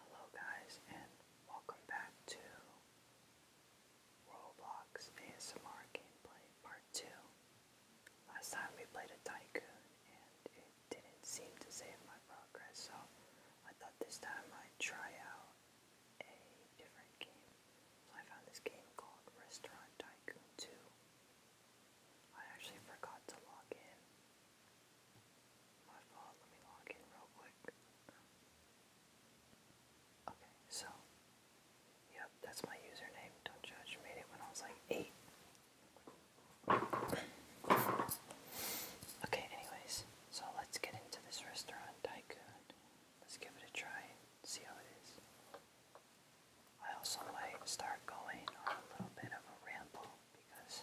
Hello guys and welcome back to Roblox ASMR Gameplay Part 2. Last time we played a Tycoon and it didn't seem to save my progress so I thought this time I'd try out a different game. So I found this game called Restaurant Tycoon 2. I actually forgot to log in my fault, let me log in real quick. Okay, so, yep, that's my username. Don't judge, made it when I was like eight. Okay, anyways, so let's get into this restaurant, Tycoon. Let's give it a try and see how it is. I also might start going on a little bit of a ramble because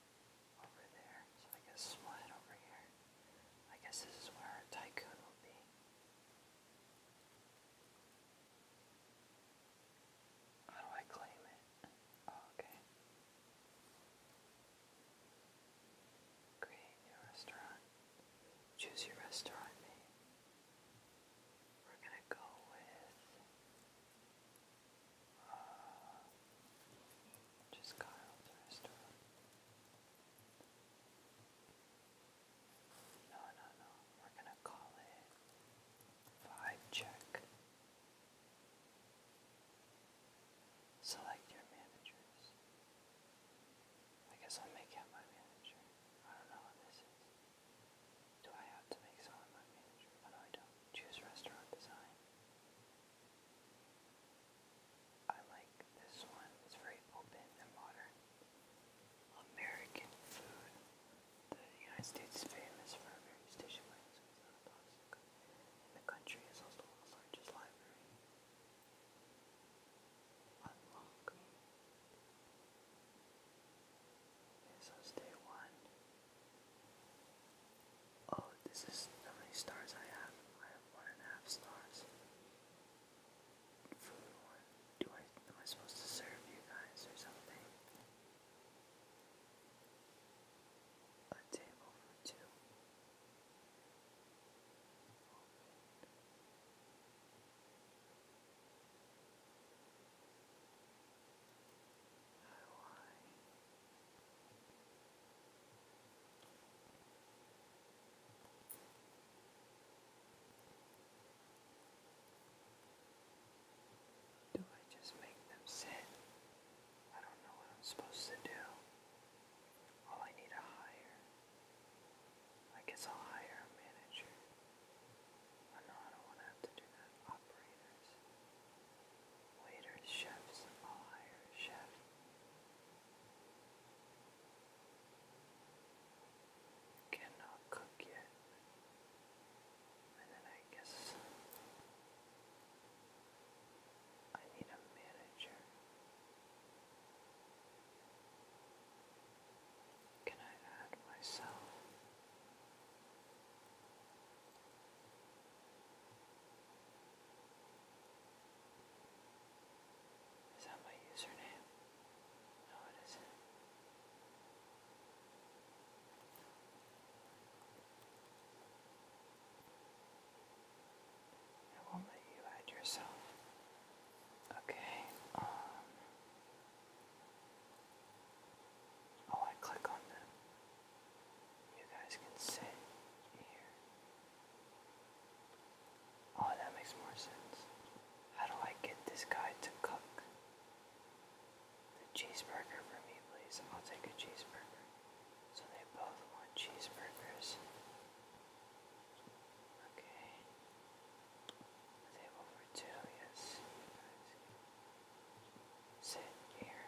over there. So I guess slide over here. I guess this is where our tycoon will be. How do I claim it? Oh, okay. Create new restaurant. Choose your restaurant We're gonna go with just got restaurant. No, no, no. We're gonna call it vibe check. Select your managers. I guess I'll make him my manager. I don't know what this is. Do I have to make someone my manager? no, I don't. Choose restaurant design. I like this one. It's very open and modern. American food. The United States is famous for various tissue the country is also the largest library. Unlock. Okay, so it's one. Oh, this is how many stars I have. I have one and a half stars. Food Do I am I supposed to serve you guys or something? A table for two. How do I just make them sit? I don't know what I'm supposed to do. All I need a hire. I guess I'll hire a manager. Oh no, I don't want to have to do that. Operators waiters, chefs, all higher chefs. Cannot cook yet. And then I guess I need a manager. Can I add myself? Is that my username? No, it isn't. I won't let you add yourself. Okay, um, Oh, I click on the you guys can sit here. Oh, that makes more sense. How do I get this guy to cook? The cheeseburger for me, please. I'll take a cheeseburger. So they both want cheeseburgers. Okay. A table for two, yes. Sit here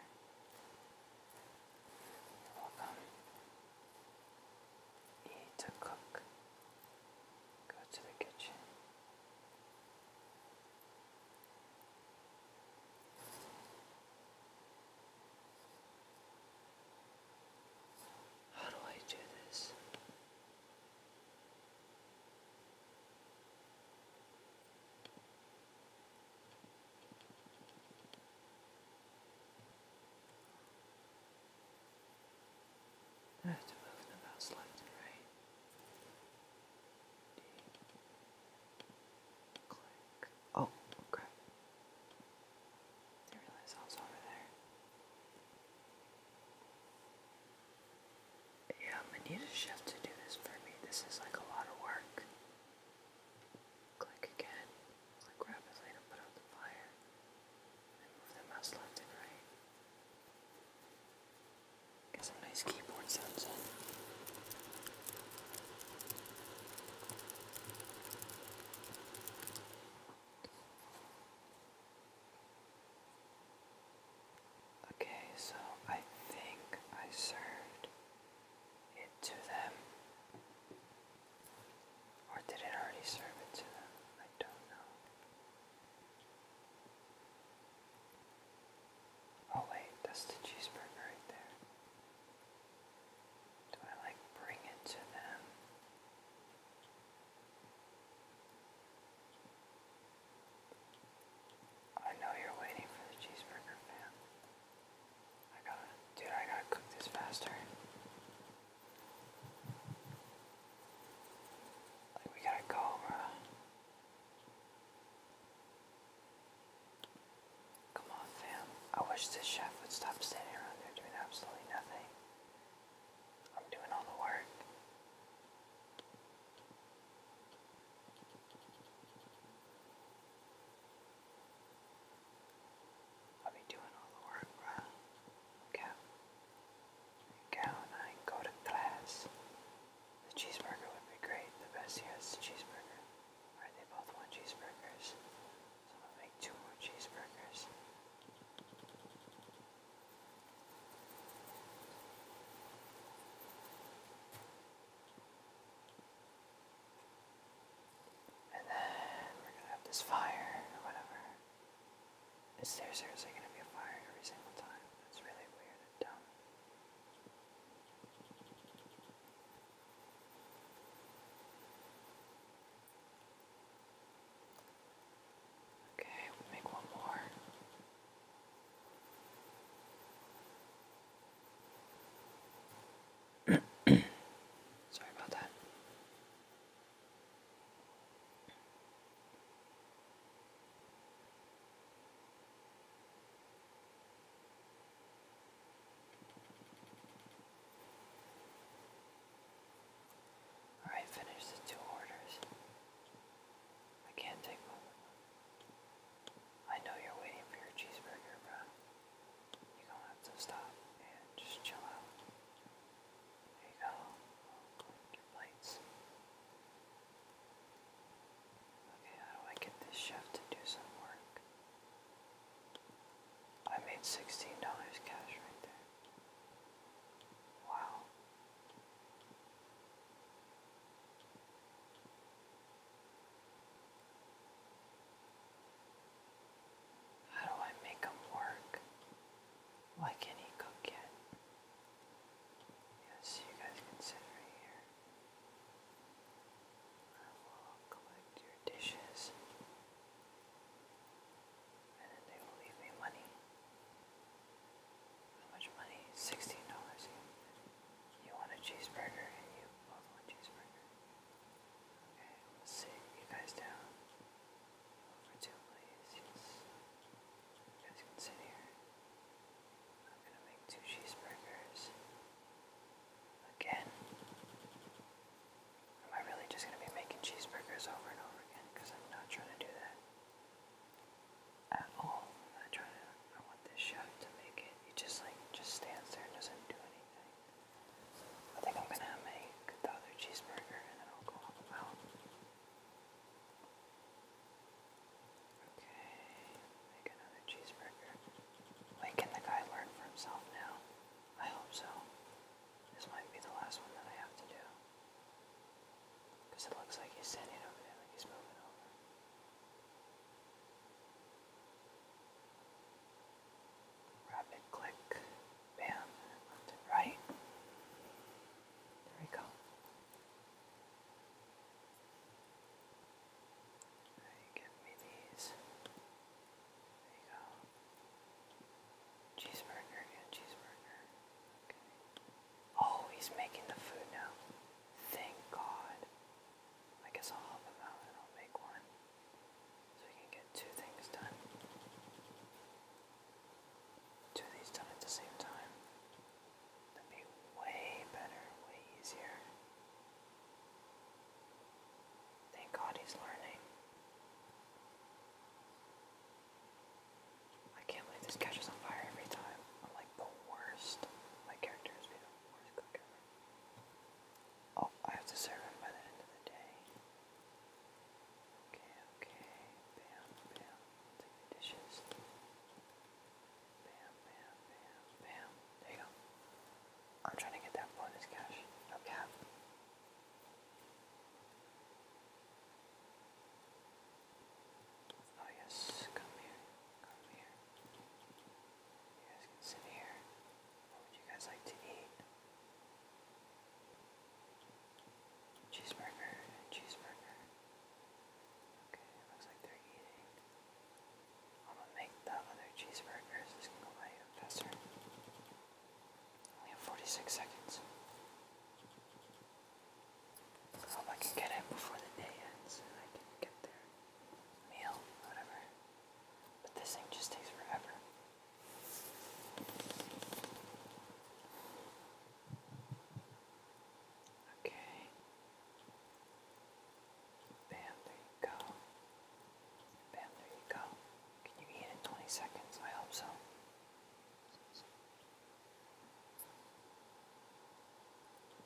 welcome. Eat to cook. Go to the kitchen. How do I do this? I have to move them about left and right. Click. Oh, crap. I realize I was over there. Yeah, i need a shift to do this for me. This is like a lot of work. Click again, click rapidly to put out the fire, and move the mouse left and right. Get some nice keyboard sounds in. Okay, so I think I served it to them. Or did it already serve it to them? I don't know. Oh wait, that's the cheeseburger right there. Do I like bring it to them? I know you're waiting for the cheeseburger, fam. I dude, I gotta cook this faster. Like, we gotta go, Come on, fam. I wish this chef would stop standing around there doing absolutely nothing. I'm doing all the work. I'll be doing all the work, bro. Go. Go and I go to class. The cheeseburger would be great. The best here is the cheeseburger. Alright, they both want cheeseburgers. So I'm gonna make two more cheeseburgers. And then we're gonna have this fire or whatever. Is there seriously gonna be a fire every single time? That's really weird Okay, make one more. Sorry about that. All right, finish the two orders. I can't take more. I know you're waiting for your cheeseburger, bro. You're going have to stop and just chill out. There you go. Your plates. Okay, how do I get this chef to do some work? I made $16 cash right there. Wow. How do I make him work? Why can't he cook yet? Yes, you guys can here. I will collect your dishes. And then they will leave me money. How much money? $16. You want a cheeseburger and you both want cheeseburger. Okay, let's sit you guys down two please. Yes. You guys can sit here. I'm gonna make two cheeseburgers. Again. Am I really just gonna be making cheeseburgers over and over again? Because I'm not trying to do that at all. I'm not trying to I want this chef to make it. He just like just stands there and doesn't do anything. I think I'm gonna make the other cheeseburger and then I'll go on Okay, make another cheeseburger. Wait, the guy learn for himself now? I hope so. This might be the last one that I have to do. it looks like he's standing over there, like he's moving over. Rapid click, bam, left right. There we go. Right, give me these. There you go. Cheeseburger, yeah, cheeseburger. Okay. Oh, he's making the food now. Thank God. I guess I'll help him out and I'll make one. So we can get two things done. Two of these done at the same time. would be way better, way easier. Thank God he's learning. I can't believe this catches on fire every time. I'm like the worst. My character is the worst cook Oh, I have to serve him by the end of the day. Okay, okay. Bam, bam. Take the dishes. Bam, bam, bam, bam. There you go. I'm trying to get that bonus cash. No Oh yes, come here, come here. You guys can sit here. What do you guys like to eat? Cheeseburger and cheeseburger. Okay, looks like they're eating. I'm gonna make the other cheeseburgers. This can go by even faster. Only have 46 seconds. I hope I can get it before the day ends and I can get their meal, whatever. But this thing just takes forever. Okay. Bam, there you go. Bam, there you go. Can you eat in 20 seconds? I hope so.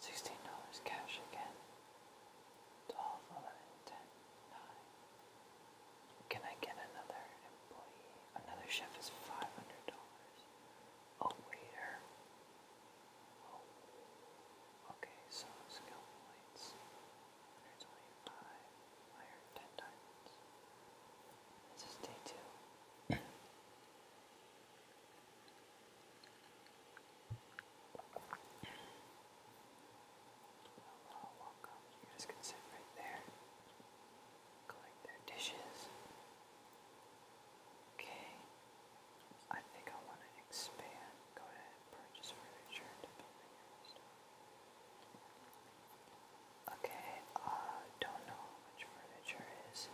$16 cash again. 12, can I get another employee? Another chef is $500. A waiter. Oh, okay, so skill points. 125. I 10 diamonds. This is day two i You guys can sit right there. Collect their dishes. Okay. I think I want to expand. Go ahead and purchase furniture to building stuff. Okay, uh, don't know how much furniture is.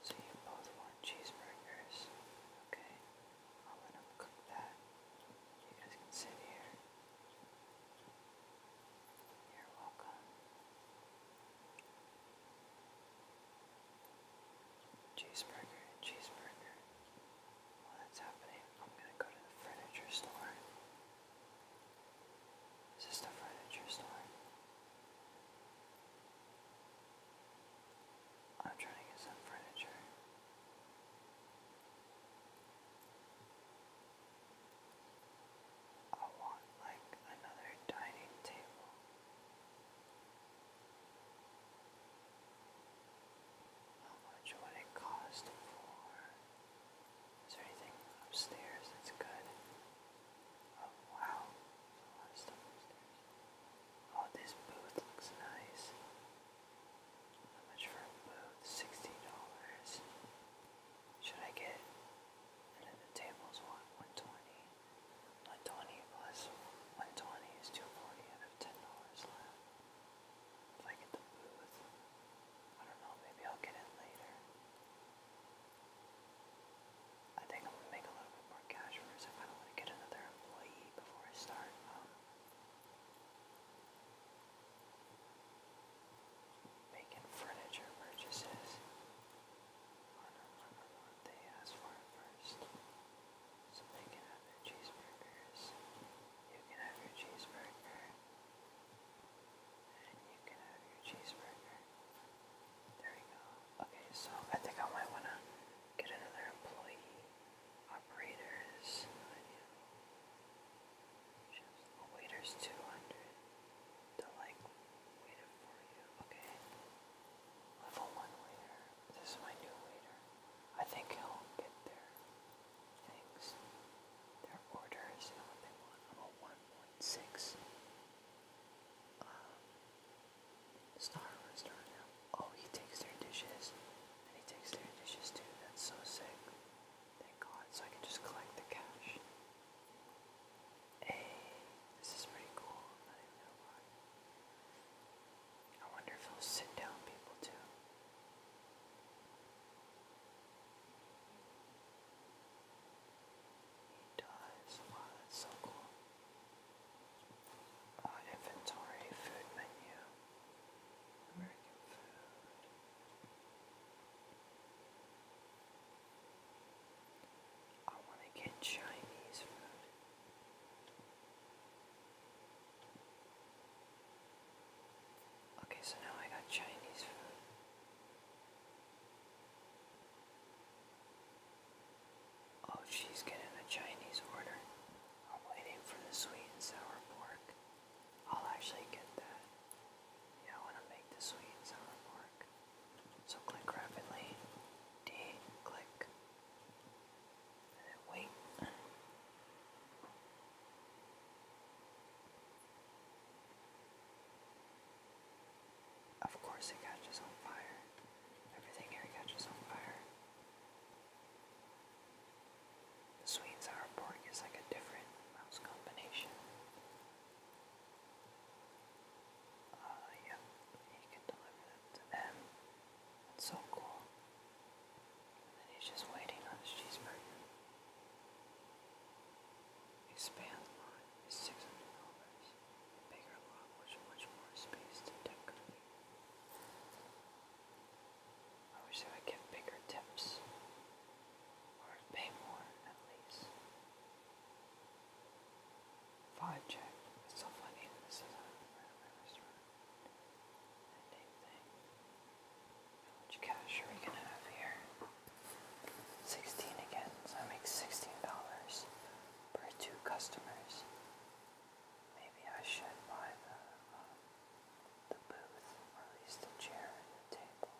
So you both want cheeseburgers. Okay. I'm gonna cook that. You guys can sit here. You're welcome. Cheeseburger, cheeseburger. While that's happening, I'm gonna go to the furniture store. Is this furniture store? I'm trying to get some furniture. I want like another dining table. How much would it cost for? Is there anything upstairs that's good? Oh wow, there's upstairs. Oh, this booth looks nice. How much for a booth? Sixty dollars. Should I get? And then the tables want one twenty. One twenty plus one twenty is two forty. I have ten dollars left. If I get the booth, I don't know. Maybe I'll get it later. I think I'm gonna make a little bit more cash first if I don't want to get another employee before I start. Um, making furniture purchases on what they ask for first. So they can have their cheeseburgers. You can have your cheeseburger. And you can have your cheeseburger. There we go. Okay, so I think I might want to get another employee. Operators, I know. Just oh, waiter's two hundred. like wait for you. Okay. Level one waiter. This is my new waiter. I think he'll get their things. Their orders and what they want. Um Star Restaurant Oh, he takes their dishes. And he takes their dishes too. That's so sick. They call so I can just collect the cash. Hey, this is pretty cool. I did know I wonder if it'll sit down people too. He does. Wow, that's so cool. Uh, inventory, food menu. American food. I want to get Chinese food. Okay, so now I got Chinese food. Oh, she's getting a Chinese order. I'm waiting for the sweet and sour pork. I'll actually get that. Yeah, I want to make the sweet sour pork. So click rapidly, D click, and then wait. Of course, it catches on fire. Everything here catches on fire. The sweet and sour pork is like a different mouse combination. Uh, yep, he can deliver them to them. That's so cool. And he's just waiting on his cheeseburger. His span is six hundred dollars. bigger lot, which much more space to decorate. I wish I would get bigger tips. Or pay more, at least. Five check. It's so funny this is a restaurant. Same How much cash are we gonna have here? 16 again, so I make $16 per two customers. Maybe I should buy the, um, the booth released a chair and a table.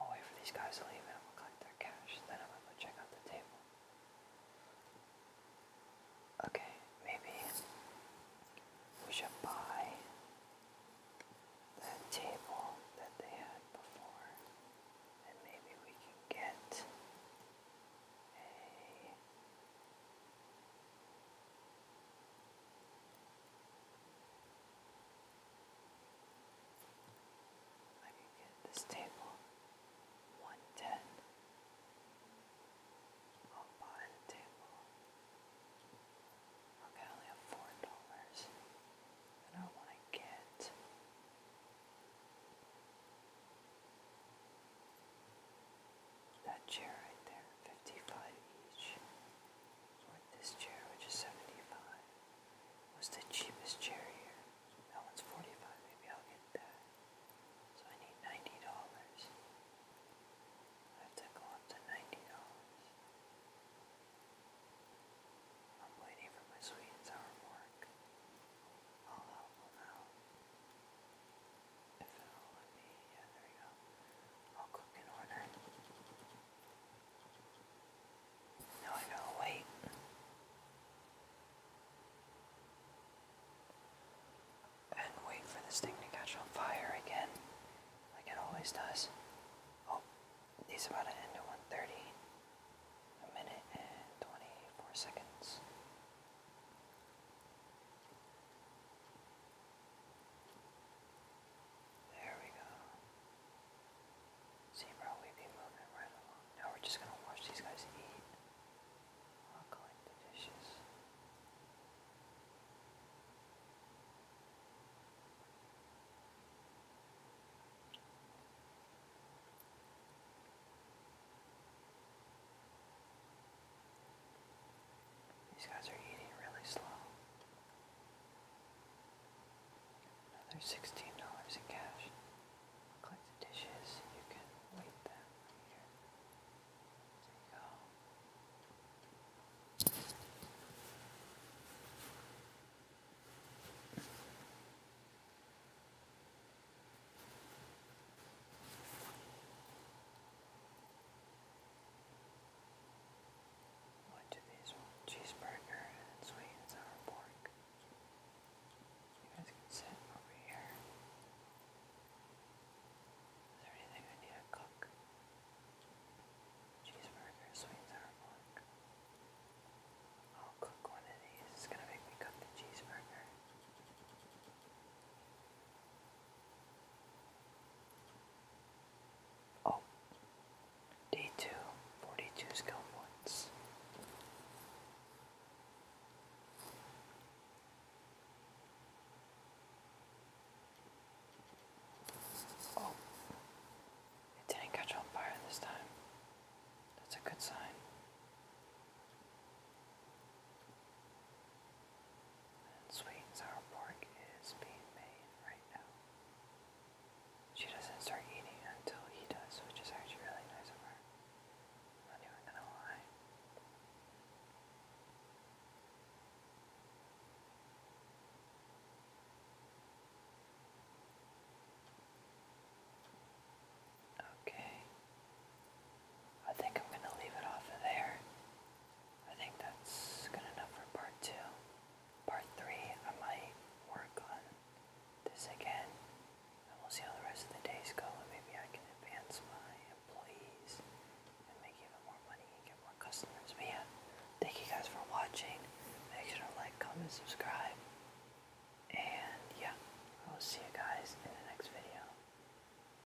I'll wait for these guys to leave and collect their cash, then I'm gonna go check out the table. Okay, maybe we should buy that table that they had before, and maybe we can get a I could get this table one ten. I'll buy the table. Okay, I only have four dollars. And I wanna get that chair right there, 55 each. this chair, which is 75, was the cheapest chair here. That one's 45, maybe I'll get that. So I need $90. I have to go up to $90. I'm waiting for my sweet and sour pork. I'll help them out. If No, wait. And wait for this thing to catch on fire again, like it always does. Oh, he's about to end at 130. A minute and 24 seconds. There we go. See, bro, we moving right along. Now we're just gonna watch these guys eat. i the dishes. These guys are eating really slow. Another sixteen dollars in cash. Click dishes you can wait them here. There you go. What do these Cheeseburger and sweet and sour pork. You guys can sit over here. Is there anything I need to cook? Cheeseburger, sweet and sour pork. I'll cook one of these. It's gonna make me cook the cheeseburger. Oh, day two, 42 skill points. Oh, it didn't catch on fire this time. That's a good sign sweet and sour pork is being made right now. She doesn't start eating until he does, which is actually really nice of her. I'm not even gonna lie. Okay, I think I'm going to leave it off of there. I think that's good enough for part two. Part three, I might work on this again, and we'll see how the rest of the days go, and maybe I can advance my employees and make even more money and get more customers. But yeah, thank you guys for watching. Make sure to like, comment, subscribe, and yeah, I will see you guys in the next video.